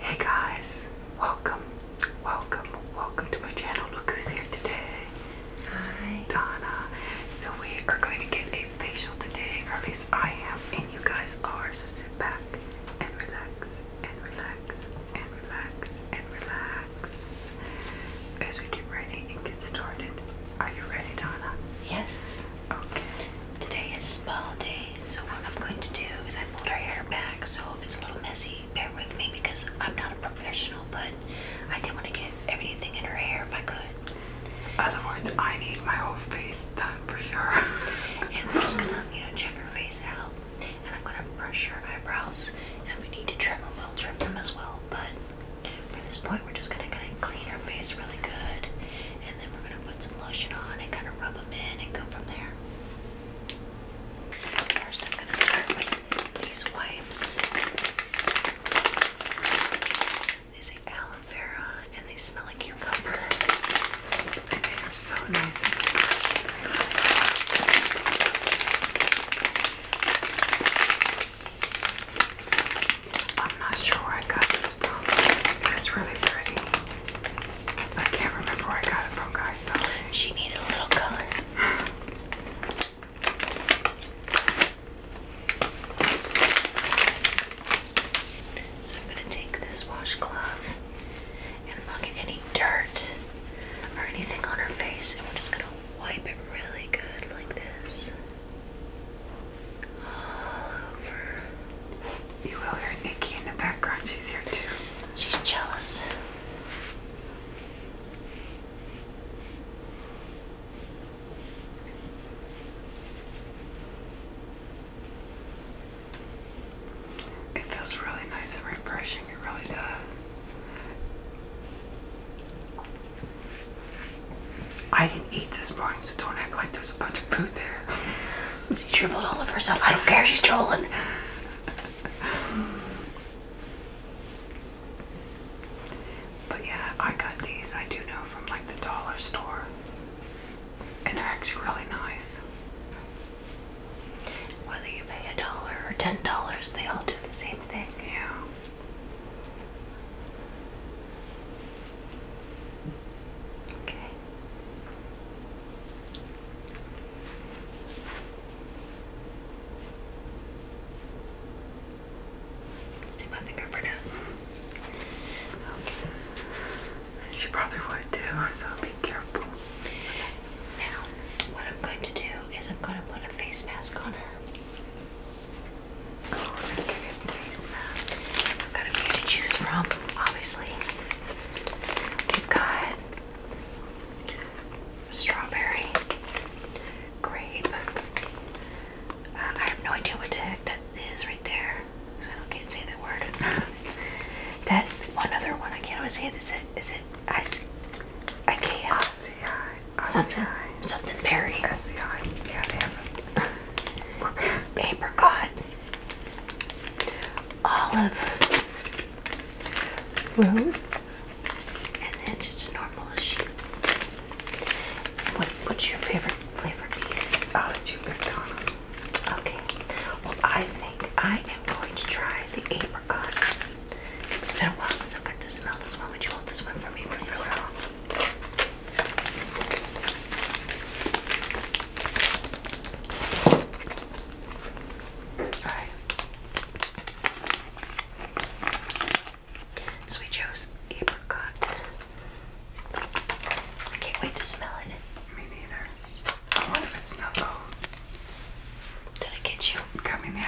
Hey guys, welcome, welcome, welcome to my channel. Look who's here today. Hi. Donna. So we are going to get a facial today, or at least I am, and you guys are, so sit back and relax and relax and relax and relax as we get ready and get started. Are you ready, Donna? Yes. Okay. Today is a small day, so what I'm going to do is I pulled her hair back, so if it's a little messy, bear with me because I'm not a professional, but I did want to get everything in her hair if I could. Otherwise, I need my whole face done for sure. and I'm just gonna, you know, check her face out, and I'm gonna brush her eyebrows, and we need to trim them, we'll trim them as well. But for this point, we're just gonna kind of clean her face really good, and then we're gonna put some lotion on and kind of rub them in and go from there. First, I'm gonna start with these wipes. They say aloe vera, and they smell like cucumber. And they are so nice I'm not sure where I got this from, but it's really pretty. I can't remember where I got it from, guys. She needed a little color. so I'm gonna take this washcloth and I'm not getting any dirt or anything on her face, and we're just gonna wipe it really good like this. All over. You will hear Nikki in the background. She's here too. She's jealous. It feels really nice and refreshing. It really does. I didn't eat this morning, so don't act like there's a bunch of food there. She dribbling all of herself. I don't care. She's trolling. But yeah, I got these. I do know from like the dollar store, and they're actually really nice. Whether you pay a dollar or ten dollars, they all do the same thing. Yeah. Okay. See my fingerprints? Okay. She probably would too, so be careful. Now, what I'm going to do is I'm going to put a face mask on her. I'm gonna get a have got a few to choose from, obviously. We've got strawberry, grape. Uh, I have no idea what the heck that is right there, I can't say that word. that one other one I can't always say. Is it? Is it? I. I chaos. I something, berry. Apricot. Olive. Rose. And then just a normal sheep. What, what's your favorite flavor beer? I'll let you pick on Okay. Well, I think I am going to try the apricot. It's been a while since I've got to smell this one. Would you hold this one for me, Priscilla? Alright. Sweet Joe's apricot. I can't wait to smell it. Me neither. I wonder it smells oh. Did I get you? Got in the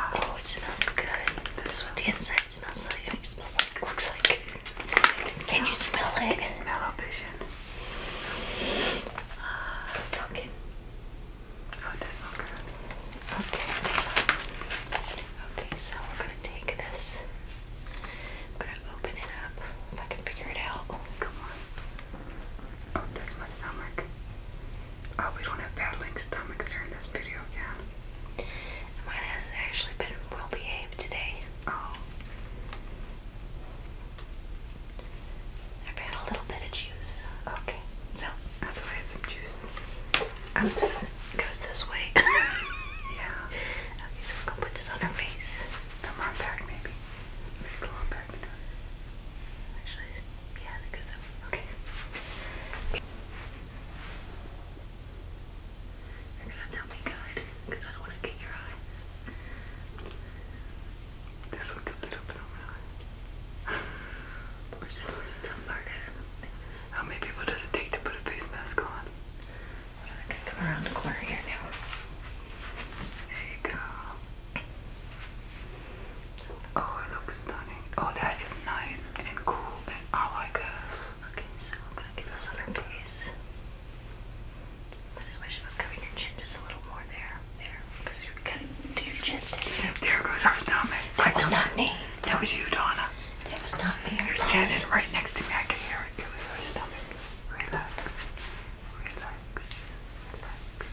Oh, it smells good. This is what the inside smells like. it smells like, looks like. Can, you smell it? I can smell a vision. talking. Uh, oh, okay, okay, so we're gonna take this. gonna open it up if I can figure it out. Come on. Oh, that's my stomach. Oh, we don't have bad battling stomachs during this video again. Mine has actually been well behaved today. Oh. I've had a little bit of juice. Okay, so that's why I had some juice. I'm sorry. it goes this way. yeah. Okay, so we're gonna put this on our face. Come on back, maybe. Maybe go on back. Actually, yeah, I think so. Okay. You're gonna tell me guide, because I don't want to get your eye. This looks a little bit on my eye. Where's that worth to murder? How many people does it take to put a face mask on? I'm gonna come around the corner here now. There you go. Oh, it looks stunning. Oh, that is nice and cool, and I like this. Okay, so I'm gonna give this on her please. I just wish I was covering your chin just a little more there. There, because you're kind of to your chin. There goes our stomach. That was not me. That was you, Donna. It was not me. You're standing right next to me. I can hear it. It was her stomach. Relax relax, relax,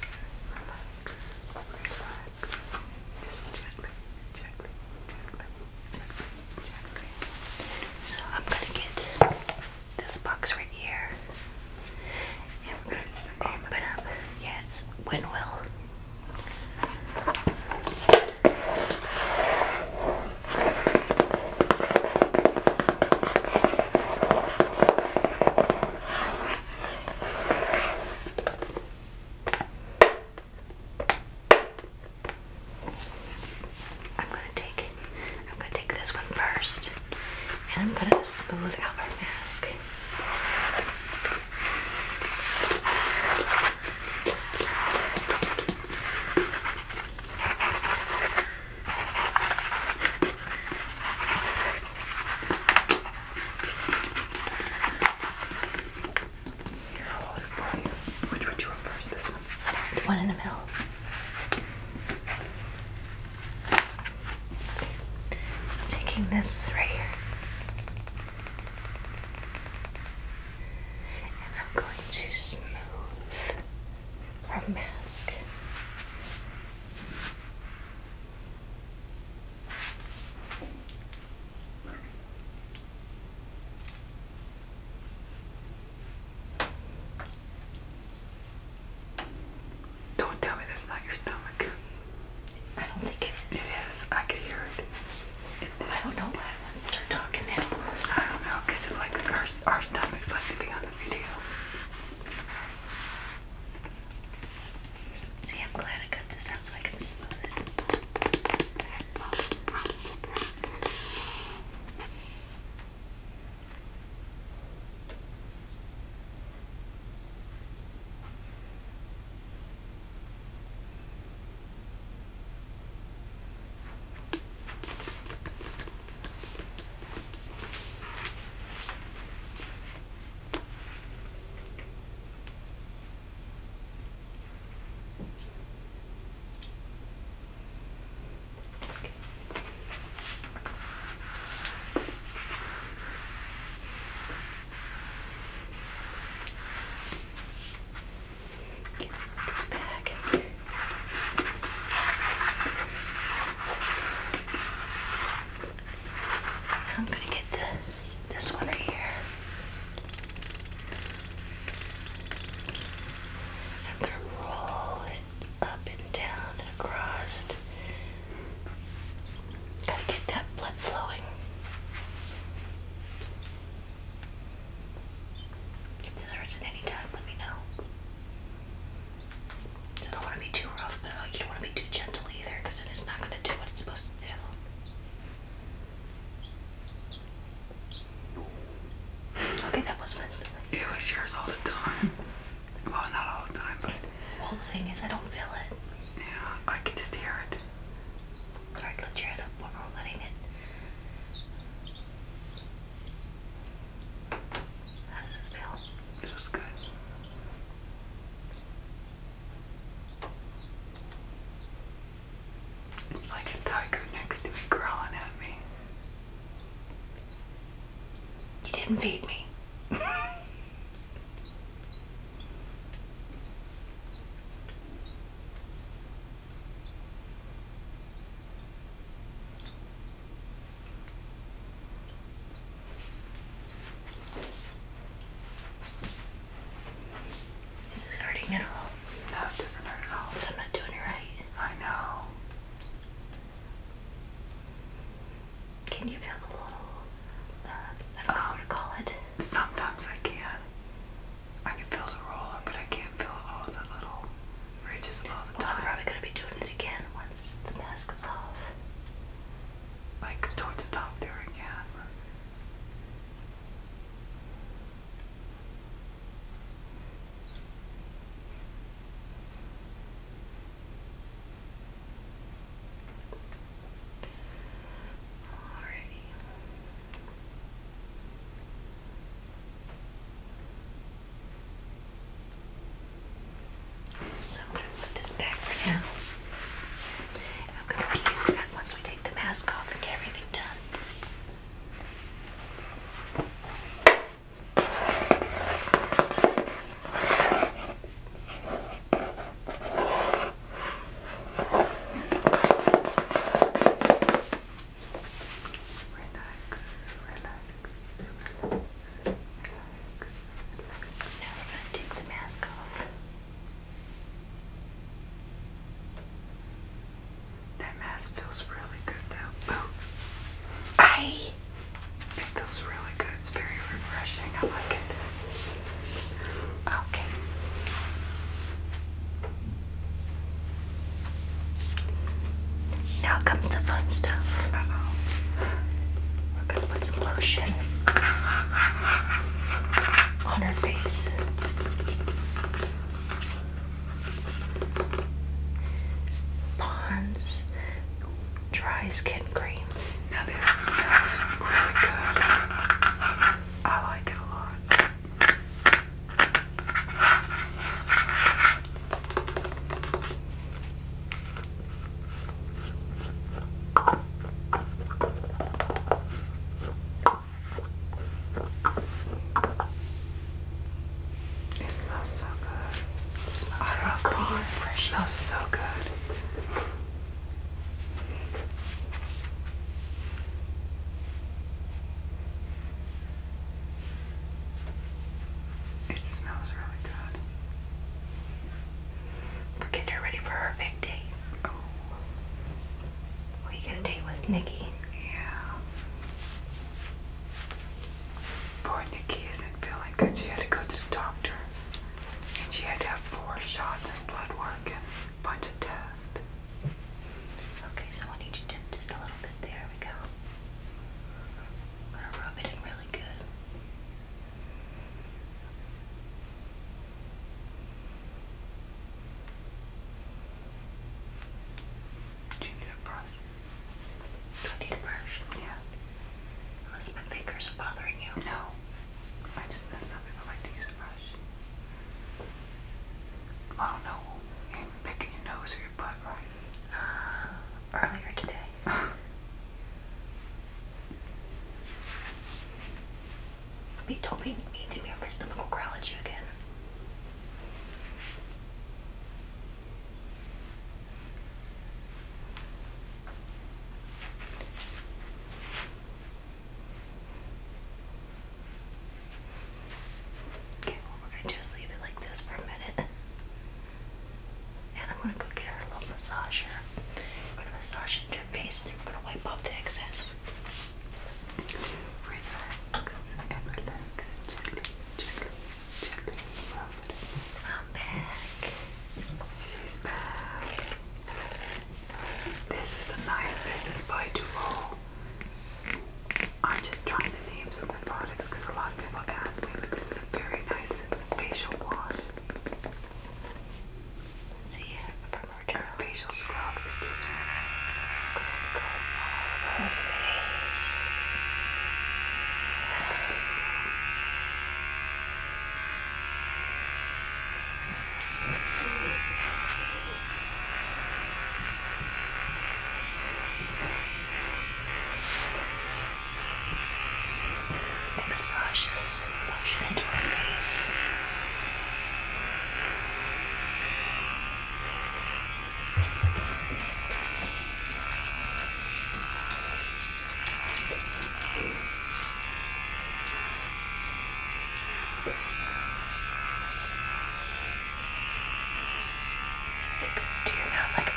relax. Just gently, gently, gently, gently, gently. So I'm gonna get this box right here, and we're up. Yeah, it's Winwill. I'm gonna take I'm gonna take this one first and I'm gonna smooth out our mask. Which one you want This one? The one in the middle. I'm taking this right here. And I'm going to smooth our mask don't tell me that's not your stomach. I don't think it is. It is. I could hear it. I don't know why I want to start talking now. I don't know, because like our, our stomachs like to be on the video. See, I'm glad I cut this out so I can smooth it. Okay. Get this back. Okay. I'm gonna get this, this one right here. I'm gonna roll it up and down and across. Gotta get that blood flowing. If this hurts at any time, let me know. So don't want to be too rough, but you don't want to be too gentle either, because it's not going to do what it's supposed to do. Okay, that was my It was yours all the time. well, not all the time, but. Well, the thing is, I don't feel it. Yeah, I can just hear it. Alright, lift your head up while we're letting it. How does this feel? Feels good. It's like a tiger next to me growling at me. You didn't feed me. Is this hurting at all? No, it doesn't hurt at all. I'm not doing it right. I know. Can you feel the little, uh, I don't know to call it? Sometimes I can. I can feel the roller, but I can't feel all the little ridges all the well, I'm probably going to be doing it again once the mask is off like towards the top there again. Alrighty. So I'm going to put this back for now. I'm going to use that once we take the mask off and get everything done. Relax, relax, relax, relax. Now we're going to take the mask off. That mask feels really good though. Oh. I. It feels really good. It's very refreshing. I like it. Okay. Now comes the fun stuff. We're gonna put some lotion on her face. Pond's Dry Skin Cream. Now this smells really good. I like it a lot. It smells so good. It smells I love corn. It smells so good. It smells really good for getting her ready for her big date. Oh. We get a date with Nikki. Yeah. Poor Nikki isn't feeling good. She had to go to the doctor. And she had to have four shots and blood work and a bunch of tests. Okay, so I need you to just a little bit. There we go. I'm gonna rub it in really good. Do you need a brush? Do I need a brush? Yeah. Unless my fingers are bothering you. No. I just know some people like to use a I don't know. you picking your nose or your butt, right? Uh, earlier today. Be don't make me do your stomach growl at you again. Okay, we're gonna just leave it like this for a minute. And I'm gonna go get her a little massage gonna massage into her face and I'm gonna wipe off the excess. I'm back. She's back. This is a nice business by Duval. I'm just trying to name some of products because a lot of people ask me, but this is a very nice facial wash. See, from original facial scrub, excuse me. Go, go all over her face. Good. The massage is motion into her face. Like, do you know, like,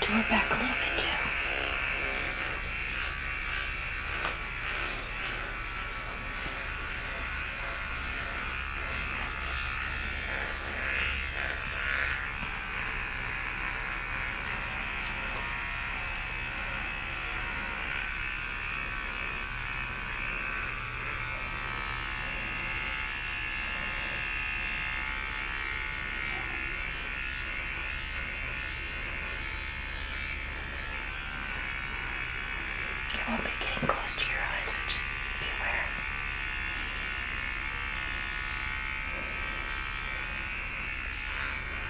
do her back a little bit too. Okay. You won't be getting close to your eyes, which is beware.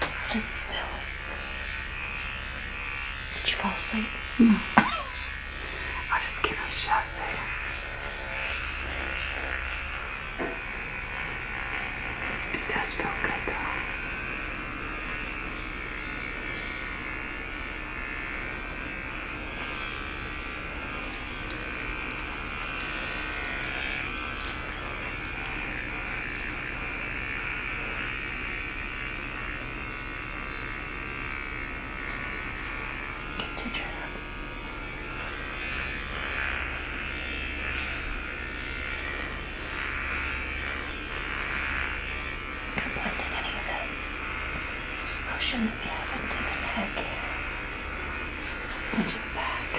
What does it smell like? Did you fall asleep? No. I'll just give him a shot too. It does feel good though. Get to trap. Can blend in any of the motion that we have into the neck here. Onto the back.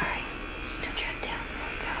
Alright, don't drag down. There we go.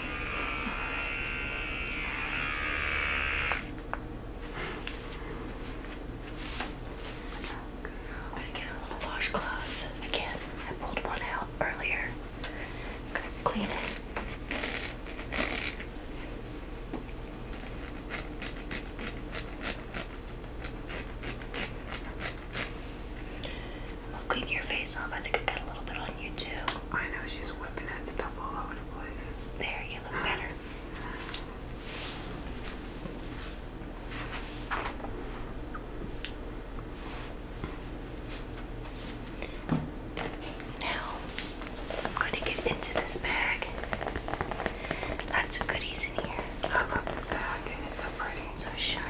I'm gonna get a little washcloth. Again, I pulled one out earlier. gonna clean it. I'll clean your face off. I think I got a little bit on you too. I know she's whipping that stuff all over the place. There, you look better. Now, I'm going to get into this bag. Lots of goodies in here. I love this bag, it's so pretty. So shiny.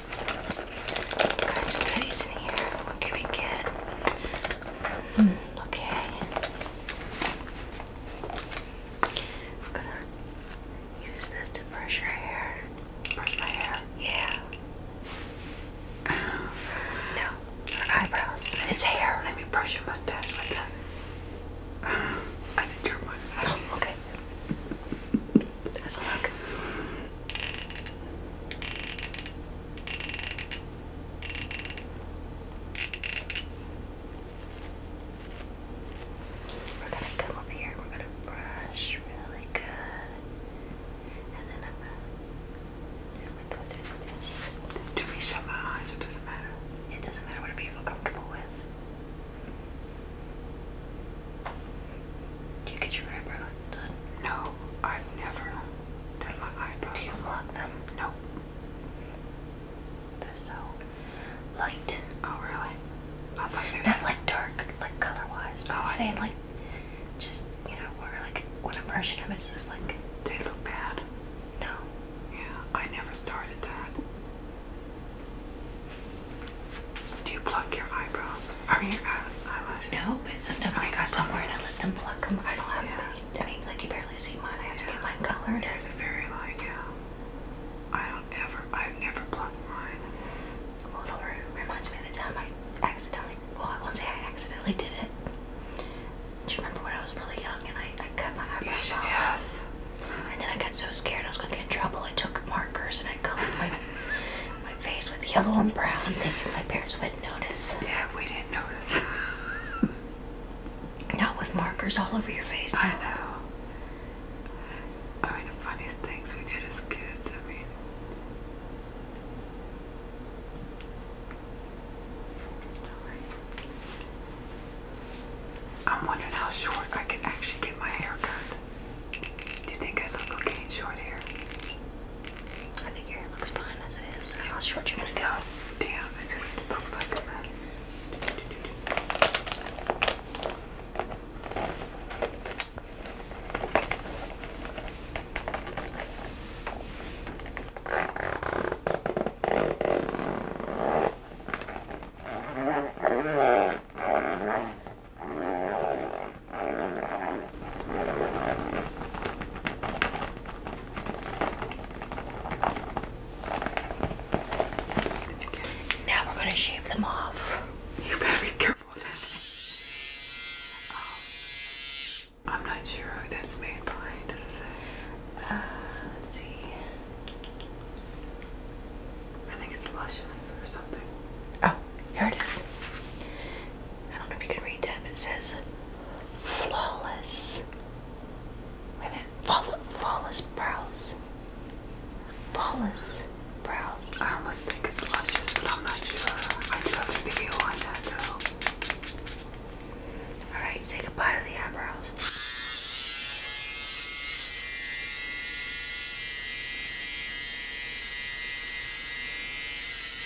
What can we get? Mm, okay. I'm gonna use this to brush your hair. Brush my hair? Yeah. Um, no, your eyebrows. It's hair. Let me brush your mustache with that. I said your mustache. Oh, okay. That's a look. We're gonna come over here. We're gonna brush really good, and then I'm gonna, go through this. Do we shut my eyes? Or does it matter? It doesn't matter. Whatever you feel comfortable with. Do you get your eyebrows? No, I've never done my eyebrows. Do you block them? No. They're so light. Oh really? not like dark, like color-wise. oh, I'm like just you know, where like when a version of it's just like they look bad. No. Yeah, I never started that. Do you pluck your eyebrows? Are your eyelashes? No, but sometimes oh, I got somewhere and I let them pluck them. I don't have. Yeah. I mean, like you barely see mine. I have yeah. to get mine colored. It's very light. Yeah. I don't ever. I've never plucked mine. Well, it reminds me of the time I accidentally. Well, I won't say I accidentally did it. Do you remember when I was really young and I, I cut my eyebrows yes, off? Yes. And then I got so scared I was going to get in trouble. I took markers and I colored my my face with yellow and brown, thinking my parents would yeah, we didn't notice. Not with markers all over your face. I know. I mean, the funniest things we did as kids, I mean. I'm wondering how short I can actually get my hair cut. Do you think I look okay in short hair? I think your hair looks fine as it is. I'll show you this. So damn, it just looks like Now we're going to shave them off. You better be careful with this. Oh. I'm not sure who that's made by. Does it say? Uh, let's see. I think it's Luscious or something. Oh, here it is. I don't know if you can read that, it says flawless. Wait a minute, flawless brows. Flawless brows. I almost think it's luscious, but I'm not sure. I do have a video on that though. Alright, say goodbye to the eyebrows. We'll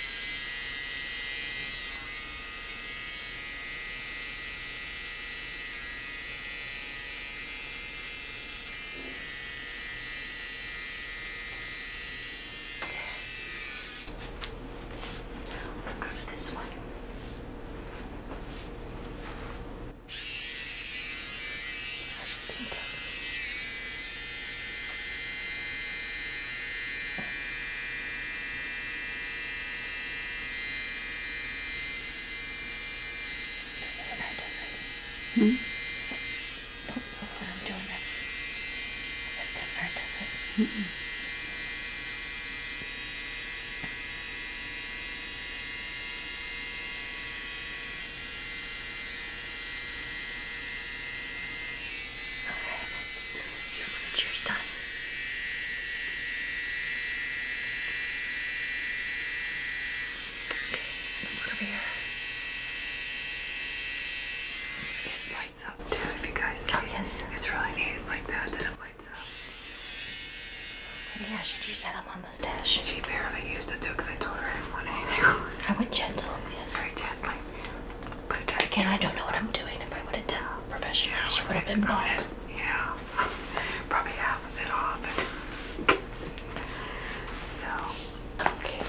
go to this one. I should paint it. Hmm? Is it helpful that I'm doing this? Is it this hard, does it? Mm -mm. Okay, so I'm Okay, this over here. It lights up too, if you guys Oh, yes. It's really neat. It's like that that it lights up. Maybe I should use that on my mustache. She barely used it though, because I told her I didn't want anything. I went gentle, yes. Very gently. Again, I don't know what I'm doing. If I would have done professional, she would have been gone. Yeah, probably half of it off. so, okay.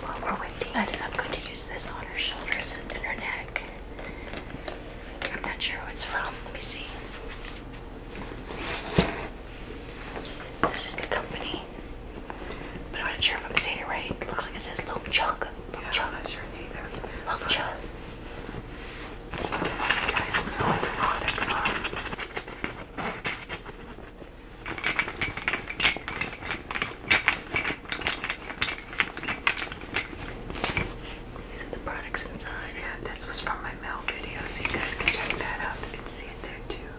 While we're waiting, I'm going to use this on her shoulders and her neck. I'm not sure where it's from. Let me see. This is the company. But I'm not sure if I'm saying it right. looks like it says Loam Chunk. Loam yeah, Chunk. I'm not sure either. Loam these are the products inside. Yeah, this was from my milk video, so you guys can check that out and see it there too.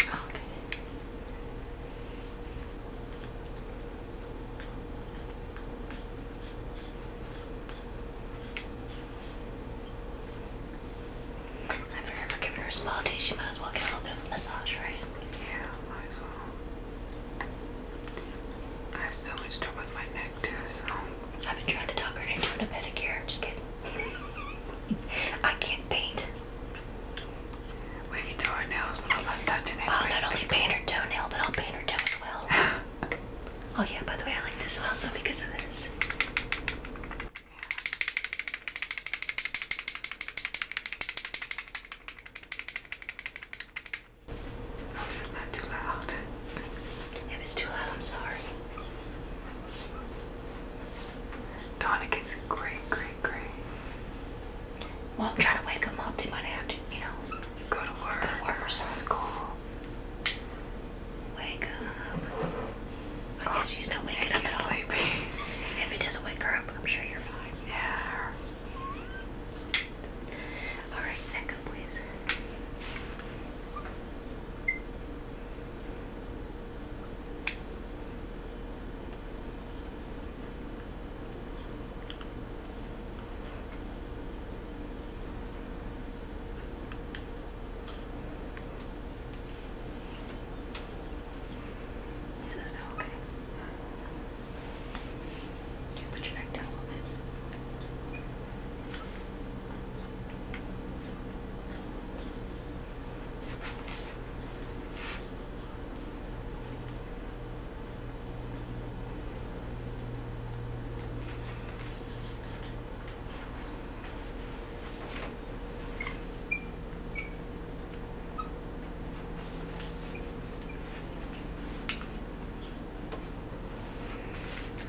Okay. I figured for giving her a spa day, she might as well get a little bit of a massage, right? Yeah, might as well. I have so much trouble with my neck too, so um, I've been trying to talk her into doing a pedicure. I'm Just kidding. I can't paint. We can do our nails, but I'm not touching it. I'll not only paint her toenail, but I'll paint her toe as well. oh yeah, by the way, I like this also because of this. Hope it's too loud. If it's too loud, I'm sorry. Donna gets great, great, great. Well, i to wake them up. They might have to, you know, go to work, go to work school. Wake up. oh, she's not waking up. At all. Sleepy. If it doesn't wake her up, I'm sure you're fine. Yeah, Alright, second please. This is okay. Okay, put your neck down a little bit. Okay,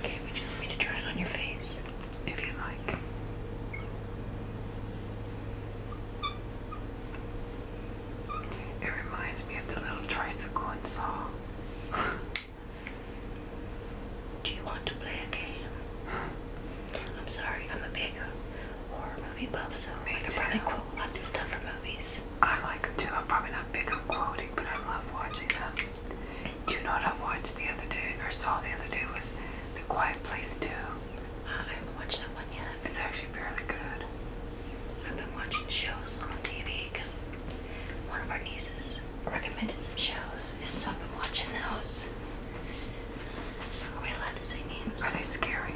Okay, would you like me to try it on your face? If you like. It reminds me of the little tricycle and saw. Do you want to play a game? I'm sorry, I'm a big horror movie buff, so I can too. quote lots of stuff from movies. I like them too. I'm probably not big on quoting, but I love watching them. Do you know what I watched the other day, or saw the other day, was The Quiet Place 2. Uh, I haven't watched that one yet. It's actually fairly good. I've been watching shows on TV because one of our nieces recommended some shows, and so I've been watching those. Are we allowed to say names? Are they scary?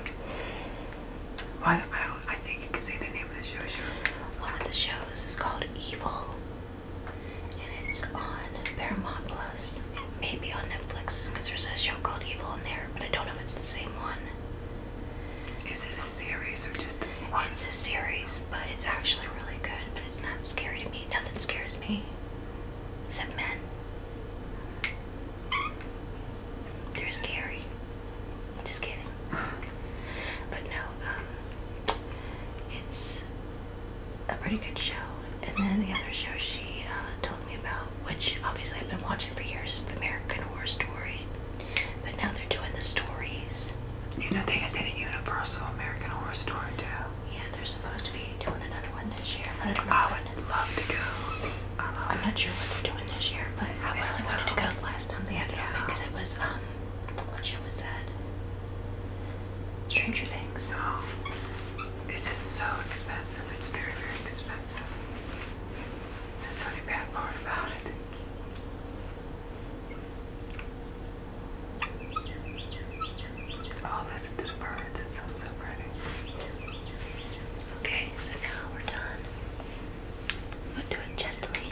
I I think you can say the name of the show. Sure. One of the shows is called Evil, and it's on Paramount Plus. It may be on Netflix because there's a show called Evil on there, but I don't know if it's the same one. Is it a series or just? It's a series, but it's actually really good. But it's not scary to me. Nothing scares me, except men. They're scary. Just kidding. but no, um, it's a pretty good show. And then the other show she uh, told me about, which obviously I've been watching for years, is the American Horror Story. But now they're doing the stories. You know, they did a Universal American Horror Story too. Yeah, they're supposed to be doing another one this year. I, I would love to go. I am not sure what they're doing this year, but I really so wanted to go last time they had it because it was um, what show is that? Stranger Things. Oh. It's just so expensive. It's very, very expensive. That's the only bad part about it. Oh, listen to the birds. It sounds so pretty. Okay, so now we're done. I'm going gently.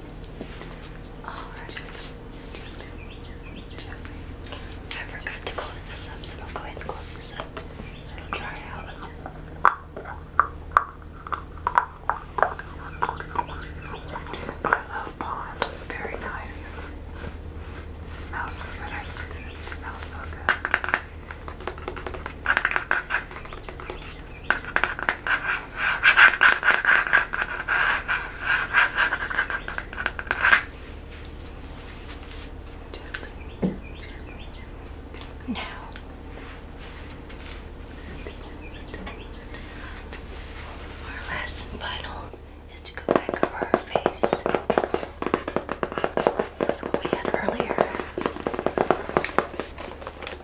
I forgot to close this up, so I'll go ahead and close this up. I love Bonds. It's very nice. It smells so good. I can it. It smells so good. Gently, gently, gently. Now, step, step, step. our last and final is to go back over her face. That's what we had earlier.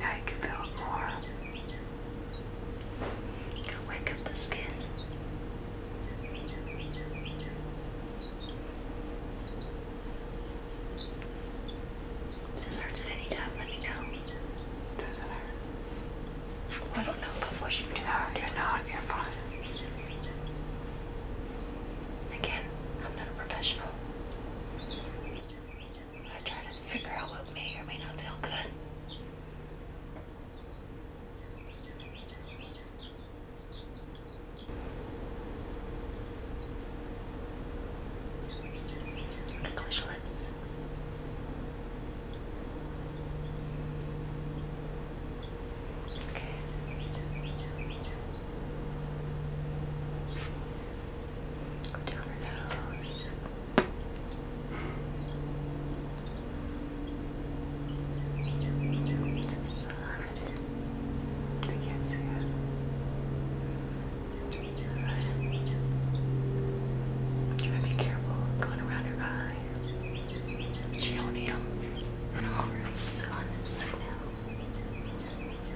I can feel more. Can wake up the skin. If this hurts at any time, let me know. Does it hurt? I don't know if I'm wishing to. No, you're not. You're fine. Again, I'm not a professional. I'm gonna try to figure out what may or may not feel good. English lips. Okay. Go down her nose. To the side. I can't see it. Alright. Try to be careful going around her eye. Cheonium. Alright, so on this side now.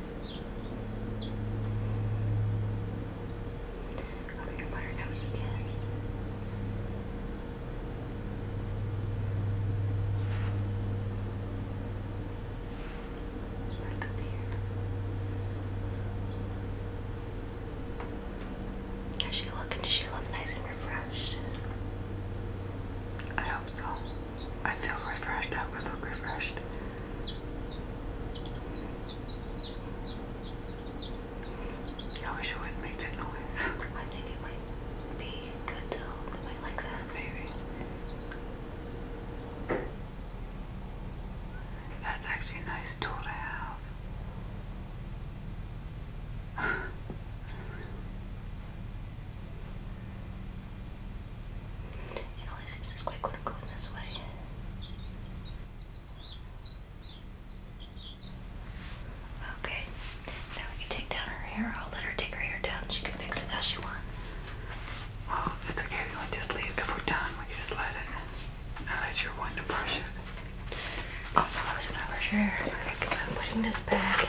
I'm gonna put her nose again. Back up here. How's she looking? Does she look nice and refreshed? I hope so. I feel refreshed. I would look refreshed. I wish it wouldn't make that noise. I think it might be good to hold the like that. Maybe. That's actually a nice tool to have. it only seems this way. Okay, now we can take down her hair. I'll let her take her hair down. She can fix it how she wants. Well, it's okay. You want just leave. If we're done, we just let it. Unless you're wanting to brush it. Oh, I was gonna brush her hair. I'm putting this back.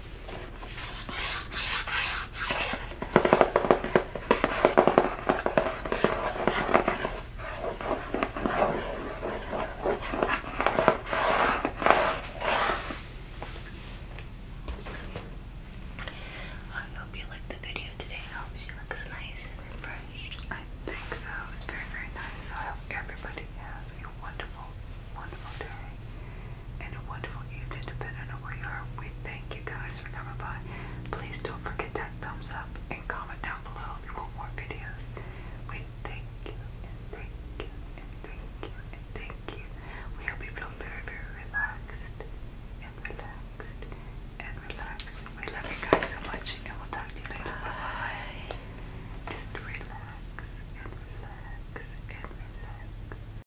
I hope you liked the video today. I hope she looks nice and refreshed. I think so. It's very, very nice. So I hope everybody has a wonderful, wonderful day and a wonderful evening, depending on where you are. We thank you guys for coming by. Please don't forget that thumbs up and comment down below if you want more videos. We thank you and thank you and thank you and thank you. We hope you feel very, very relaxed and relaxed and relaxed. We love you guys so much and we'll talk to you later. Bye Just relax relax relax.